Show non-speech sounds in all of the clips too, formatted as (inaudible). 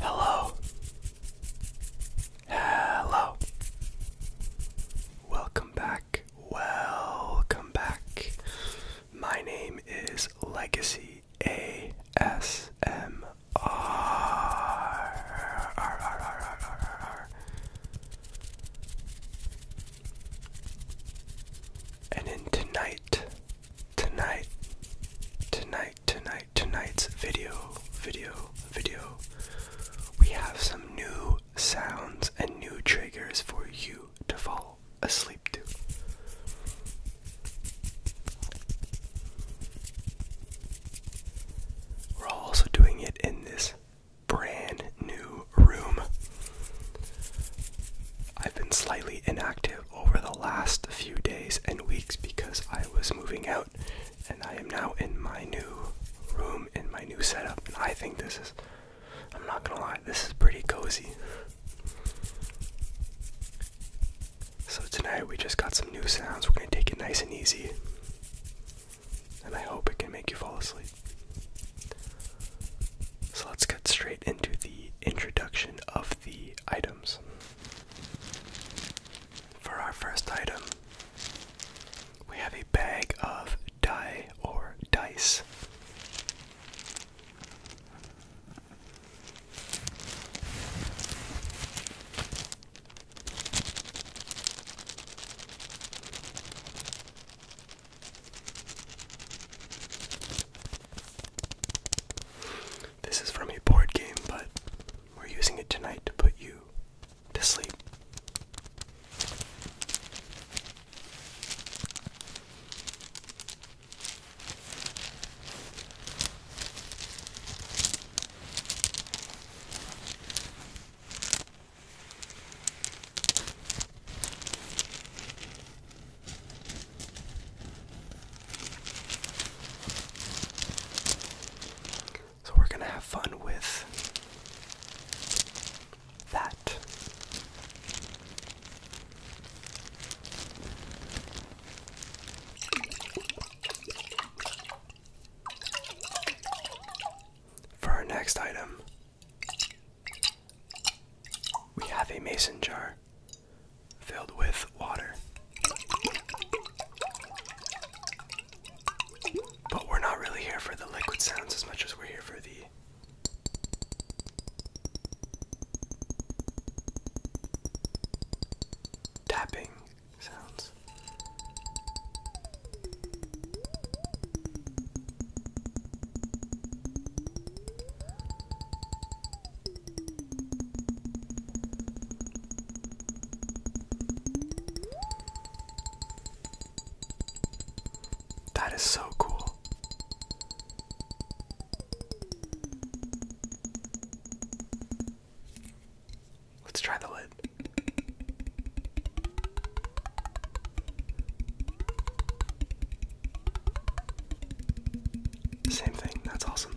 Hello. Hello. Welcome back. Welcome back. My name is Legacy ASMR. And in tonight, tonight, tonight, tonight, tonight's video, video, video, we have some new sounds and new triggers for you to fall asleep to. We're also doing it in this brand new room. I've been slightly inactive over the last few days and weeks because I was moving out and I am now in my new room in my new setup and I think this is I'm not gonna lie, this is pretty cozy. So tonight we just got some new sounds. We're gonna take it nice and easy. And I hope it can make you fall asleep. So let's cut straight into the introduction of the items. For our first item, we have a bag of die or dice. This is from a board game, but we're using it tonight to put you to sleep. So we're going to have fun with that. For our next item, we have a mason jar filled with water. But we're not really here for the liquid sounds as much as we're here for the tapping sounds. That is so cool. Let's try the lid. Same thing, that's awesome.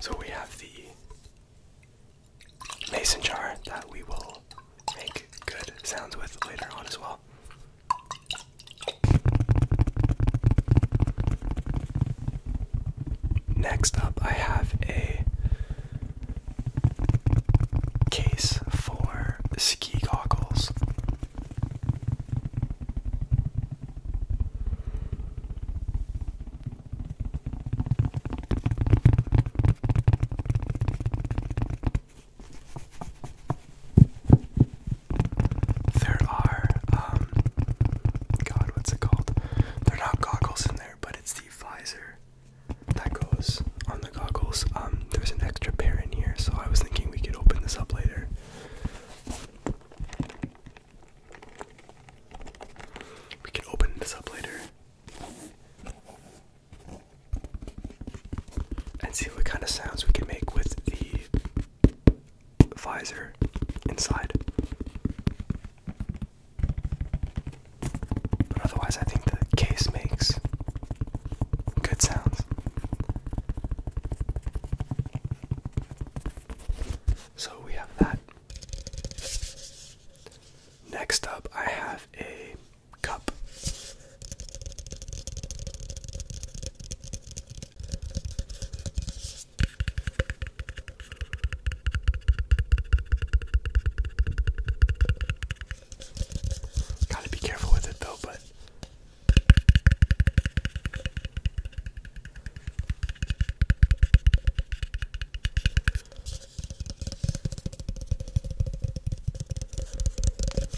So we have the mason jar that we will make good sounds with later on as well. Next up, I have a case for ski goggles. There are, um, God, what's it called? They're not goggles in there, but it's the visor that goes on the goggles. Um, there's an extra pair in here, so I was thinking we could open this up later. We could open this up later and see what kind of sounds we can make with the visor inside. But otherwise, I think the case makes good sounds. So we have that. Next up, I have a cup. Gotta be careful with it though, but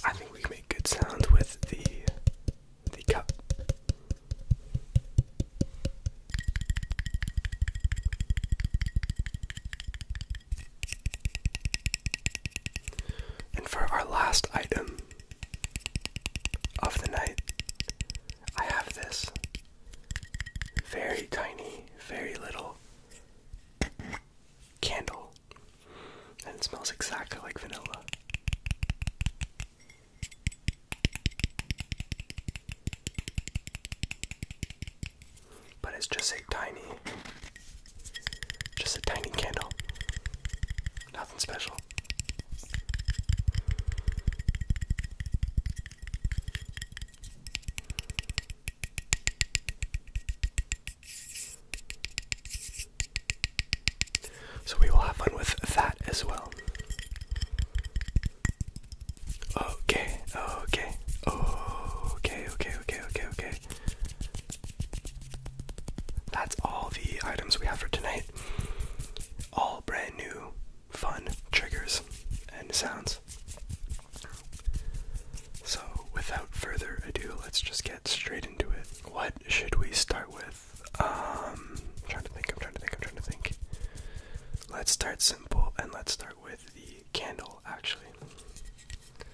I think we can make good sound with the the cup. And for our last item of the night, I have this very tiny, very little candle. And it smells exactly like vanilla. But it's just a tiny just a tiny candle. Nothing special. So we will have fun with that as well. Okay, okay, okay, okay, okay, okay, okay, that's all the items we have for tonight. All brand new, fun triggers and sounds. So, without further ado, let's just get straight into it. What should we start with? Um, I'm trying to think, I'm trying to think, I'm trying to think. Let's start simple and let's start with the candle, actually.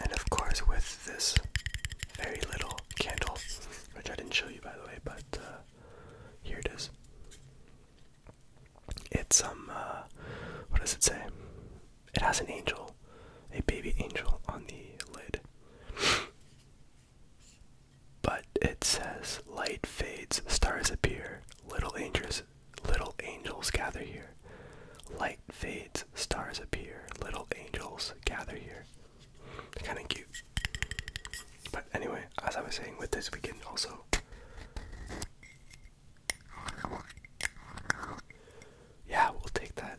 And of course, with this very little candle, which I didn't show you by the way, but uh, here it is. It's um, uh, what does it say? It has an angel, a baby angel on the lid. But it says, light fades, stars appear, little angels, little angels gather here. Light fades, stars appear, little angels gather here. They're kind of cute. But anyway, as I was saying, with this we can also yeah, we'll take that.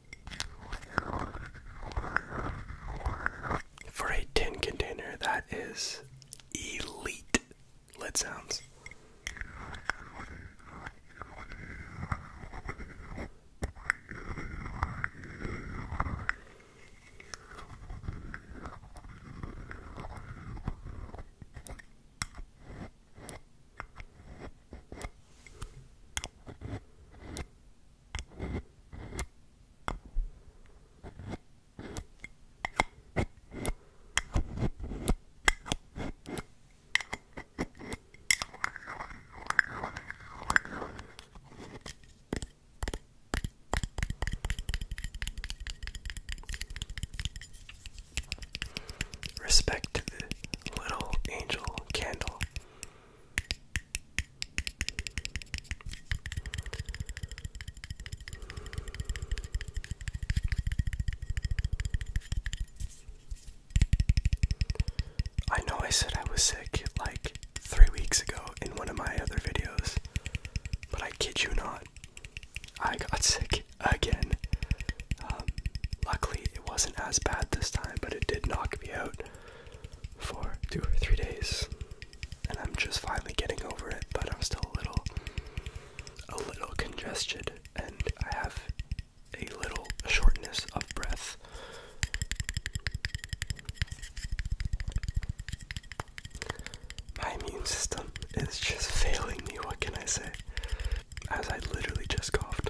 For a tin container, that is elite lid sounds. Respect to the little angel candle I know I said I was sick like three weeks ago in one of my other videos, but I kid you not, I got (laughs) sick again. Um, luckily, it wasn't as bad this time, but it did knock me out for two or three days, and I'm just finally getting over it. But I'm still a little, a little congested, and I have a little shortness of breath. My immune system is just failing me, what can I say? As I literally just coughed.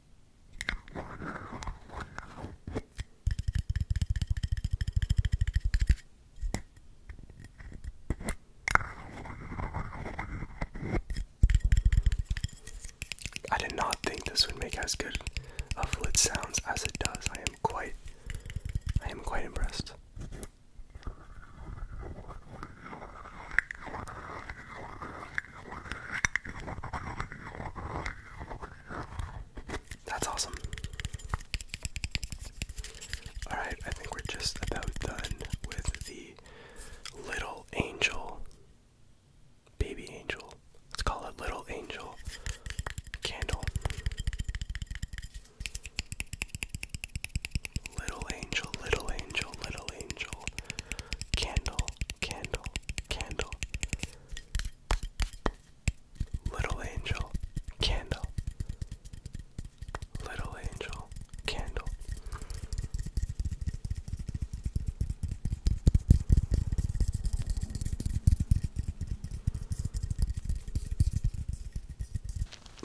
I did not think this would make as good a flit sounds as it does. I am quite I am quite impressed. That's awesome. Alright, I think we're just about done with the little angel. Baby angel. Let's call it little angel candle. Little angel, little angel, little angel. Candle, candle, candle. Little Angel Candle. Little Angel Candle.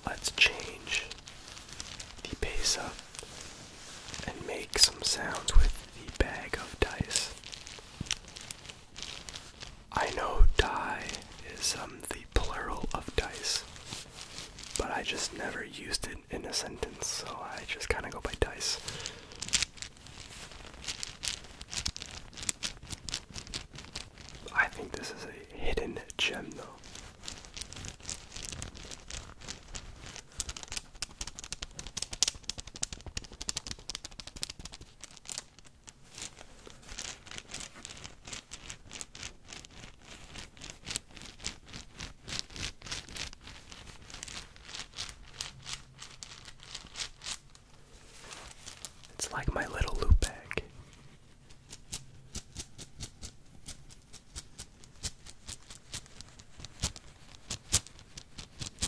Let's change the pace up and make some sounds with the bag of dice. I know die is um, the plural of dice, but I just never used it in a sentence, so I just kind of go by dice. I think this is a hidden gem, though. It's like my little loop bag.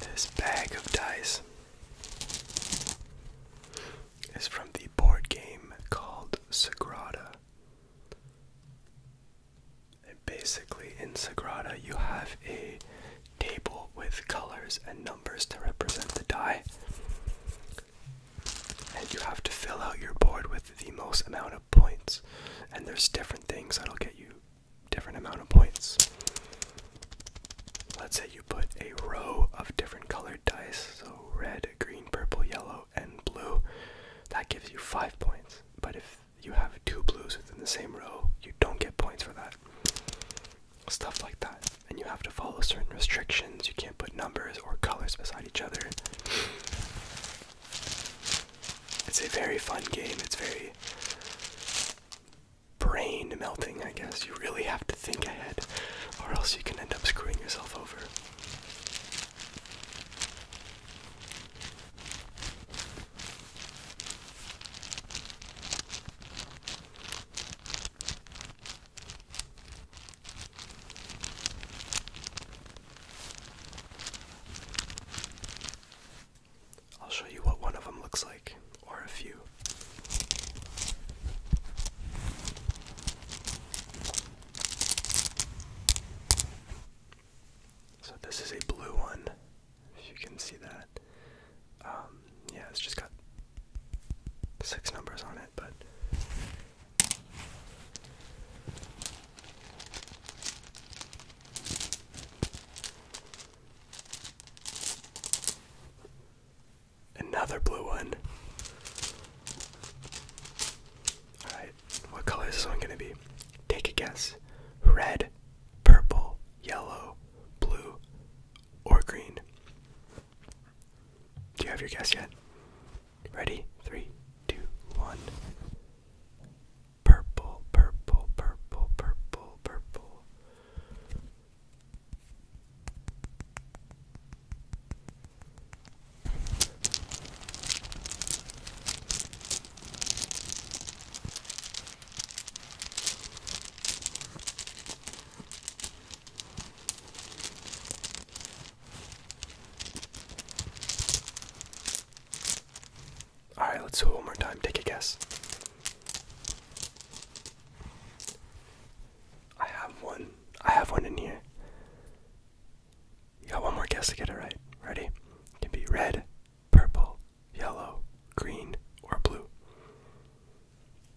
This bag of dice is from the board game called Sagrada. basically, in Sagrada, you have a table with colors and numbers to represent the die. And you have to fill out your board with the most amount of points. And there's different things that'll get you different amount of points. Let's say you put a row of different colored dice, so red, green, purple, yellow, and blue. That gives you five points. But if you have two blues within the same row, you don't get points for that stuff like that. And you have to follow certain restrictions. You can't put numbers or colors beside each other. It's a very fun game. It's very brain melting, I guess. You really have to think ahead, or else you can end up screwing yourself over. I'll show you what one of them looks like, or a few. So, this is a blue one, if you can see that. Um, yeah, it's just got six numbers on it, but another blue one. Alright, what color is this one gonna be? Take a guess. Red, purple, yellow, blue, or green. Do you have your guess yet? Ready? Three, two, one. Purple, purple, purple, purple, purple. Alright, let's do one more time. Take a guess. I have one. I have one in here. You got one more guess to get it right. Ready? It can be red, purple, yellow, green, or blue.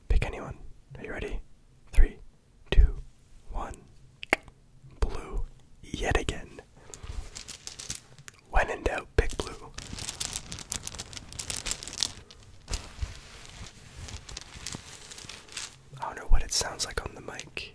Pick anyone. Are you ready? Three, two, one. Blue, yet again. When in doubt, pick blue. I don't know what it sounds like on the mic.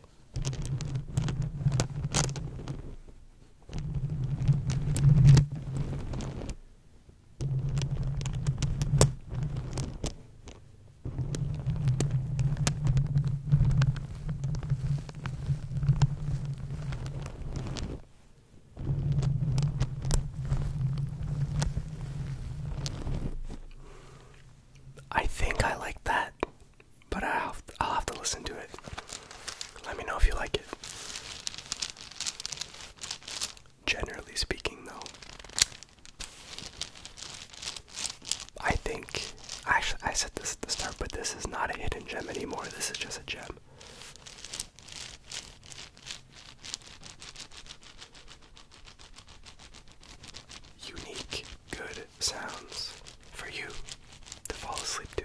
I think I like that, but I'll have, to listen to it. Let me know if you like it generally speaking, though. I think actually I said this at the start, but this is not a hidden gem anymore. This is just a gem. Unique, good sounds for you to fall asleep to.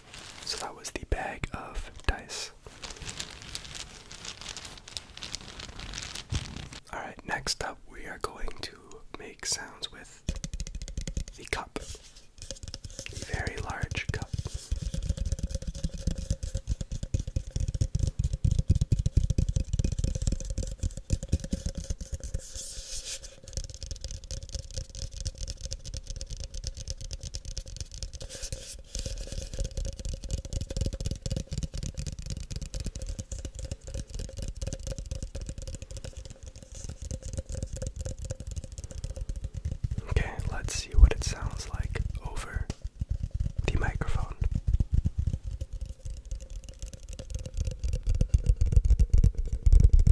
So that was the bag of dice. Alright, next up we are going to make sounds with the cup. very large cup. Okay, let's see what it sounds like over the microphone.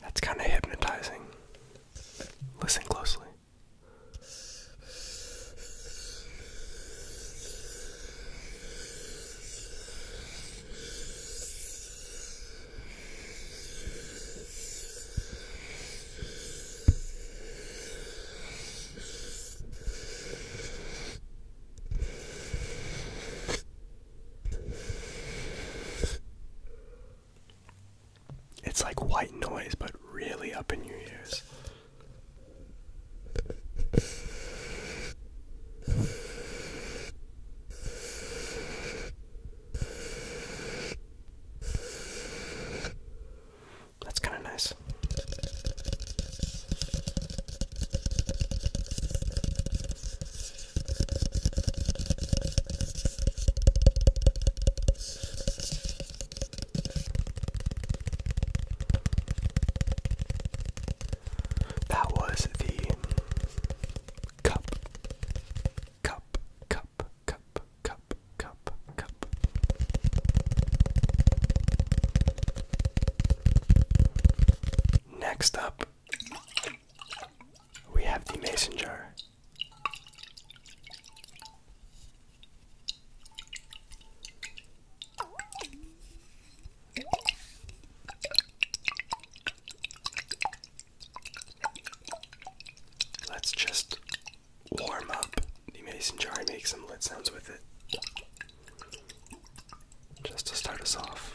That's kind of hypnotizing. Listen closely. It's like white noise, but really up in your ears. That's kind of nice. That was the cup, cup, cup, cup, cup, cup, cup. Next up, we have the mason jar. Let's just warm up the mason jar and make some lid sounds with it. Just to start us off.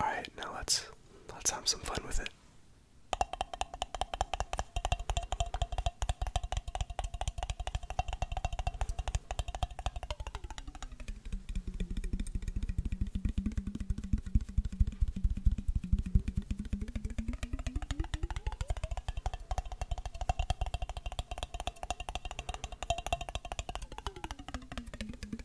All right, now let's let's have some fun with it.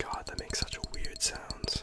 God, that makes such a weird sound.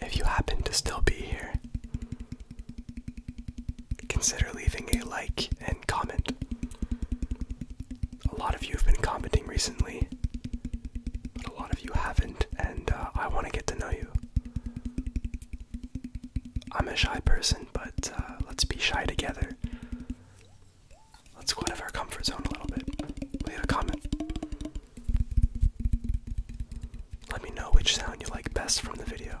If you happen to still be here, consider leaving a like and comment. A lot of you have been commenting recently, but a lot of you haven't, and uh, I want to get to know you. I'm a shy person, but uh, let's be shy together. Let's go out of our comfort zone a little bit. Leave a comment. Let me know which sound you like best from the video.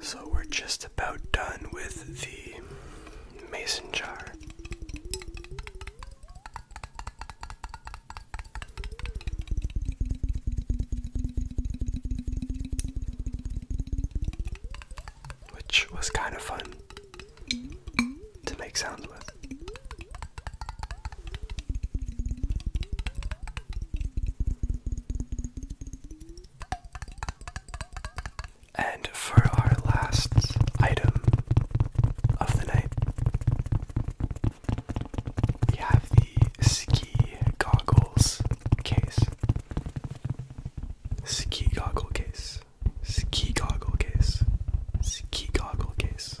So we're just about done with the mason jar. Which was kind of fun to make sounds with. And for our last item of the night, we have the ski goggles case. Ski goggles case. Ski goggles case. Ski goggles case.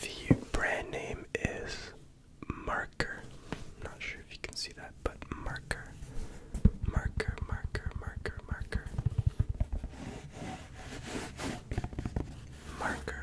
The brand name is marker. Not sure if you can see that, but marker. Marker, marker, marker, marker. Marker.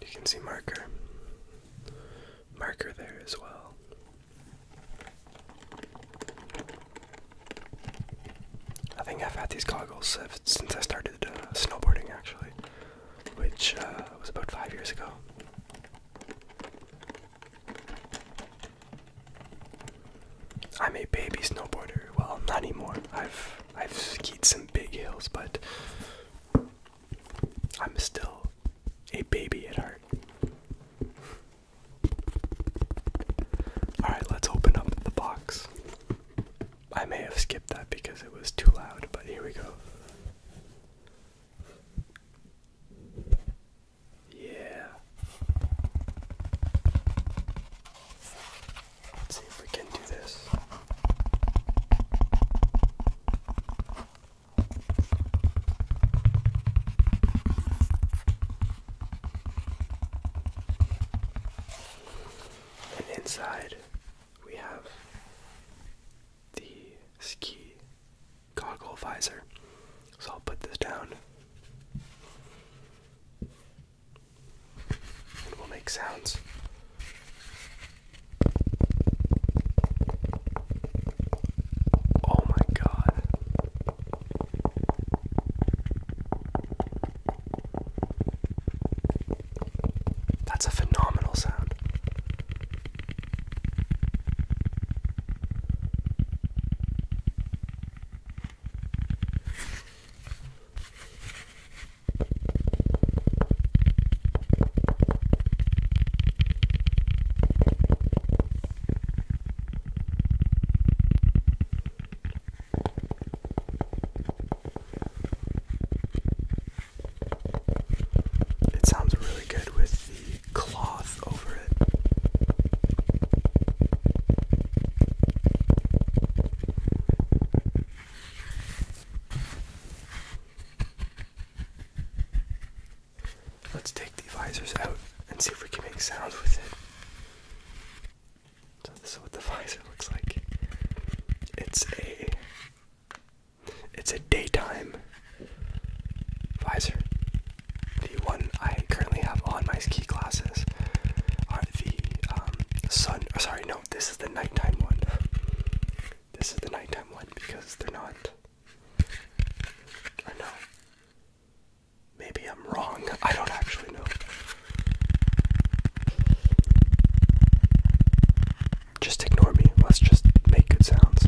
You can see marker. Marker there as well. I think I've had these goggles since I started uh, snowboarding, actually, which uh, was about five years ago. I'm a baby snowboarder. Well, not anymore. I've I've skied some big hills, but I'm still a baby at heart. All right, let's open up the box. I may have skipped that because it was too loud, but here we go. Yeah. Let's see if we can do this. And inside we have the ski goggles visor. So I'll put this down and we'll make sounds. Oh my god. That's a phenomenal sound. It sounds really good with the cloth over it. Let's take the visors out and see if we can make sounds with it. So this is what the (laughs) visor looks like. It's a it's a daytime visor. The one I currently have on my ski glasses are the um, sun. sorry, no, this is the nighttime one. This is the nighttime one because they're not. Or no, maybe I'm wrong. I don't actually know. Just ignore me. Let's just make good sounds.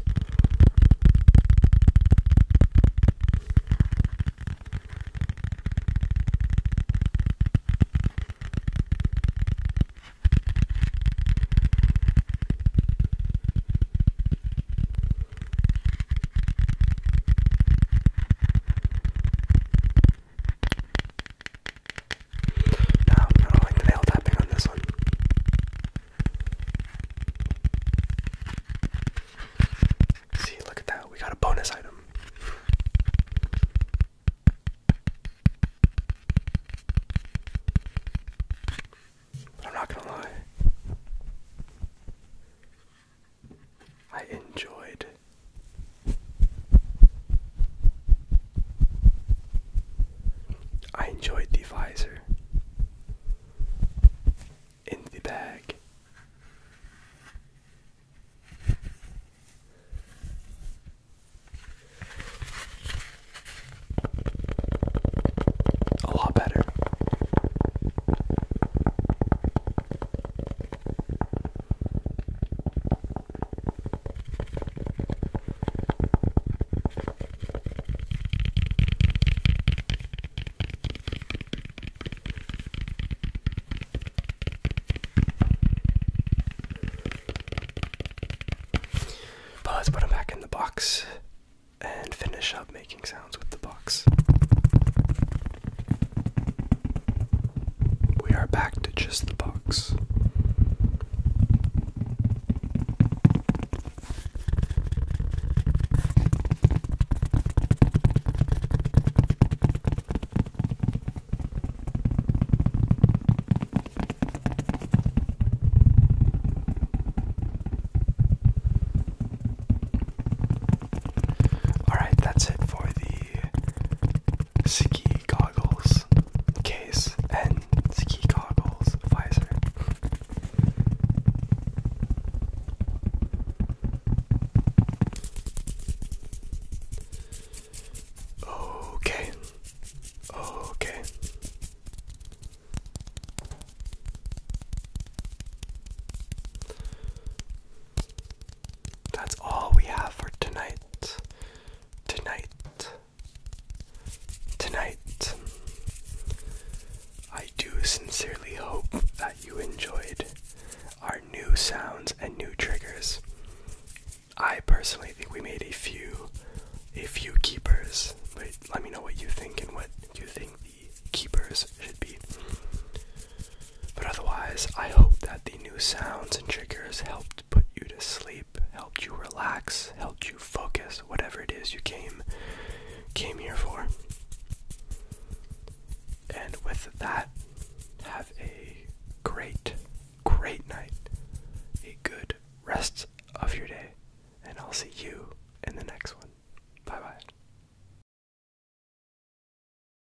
No, I'm not like the nail tapping on this one. See, look at that. We got a bonus item. I'm not gonna lie. I enjoyed I enjoyed the visor in the bag. A lot better let's put them back in the box and finish up making sounds with the box. We are back to just the box. All right, that's it for the ski goggles case and ski goggles visor. Okay. Okay. That's all we have for tonight. Tonight. Tonight. I do sincerely hope that you enjoyed our new sounds and new triggers. I personally think we made a few a few keepers, but let me know what you think and what you think the keepers should be. But otherwise, I hope that the new sounds and triggers helped put you to sleep, helped you relax, helped you focus, whatever it is you came came here for. And with that, have a great, great night, a good rest of your day, and I'll see you in the next one. Bye bye.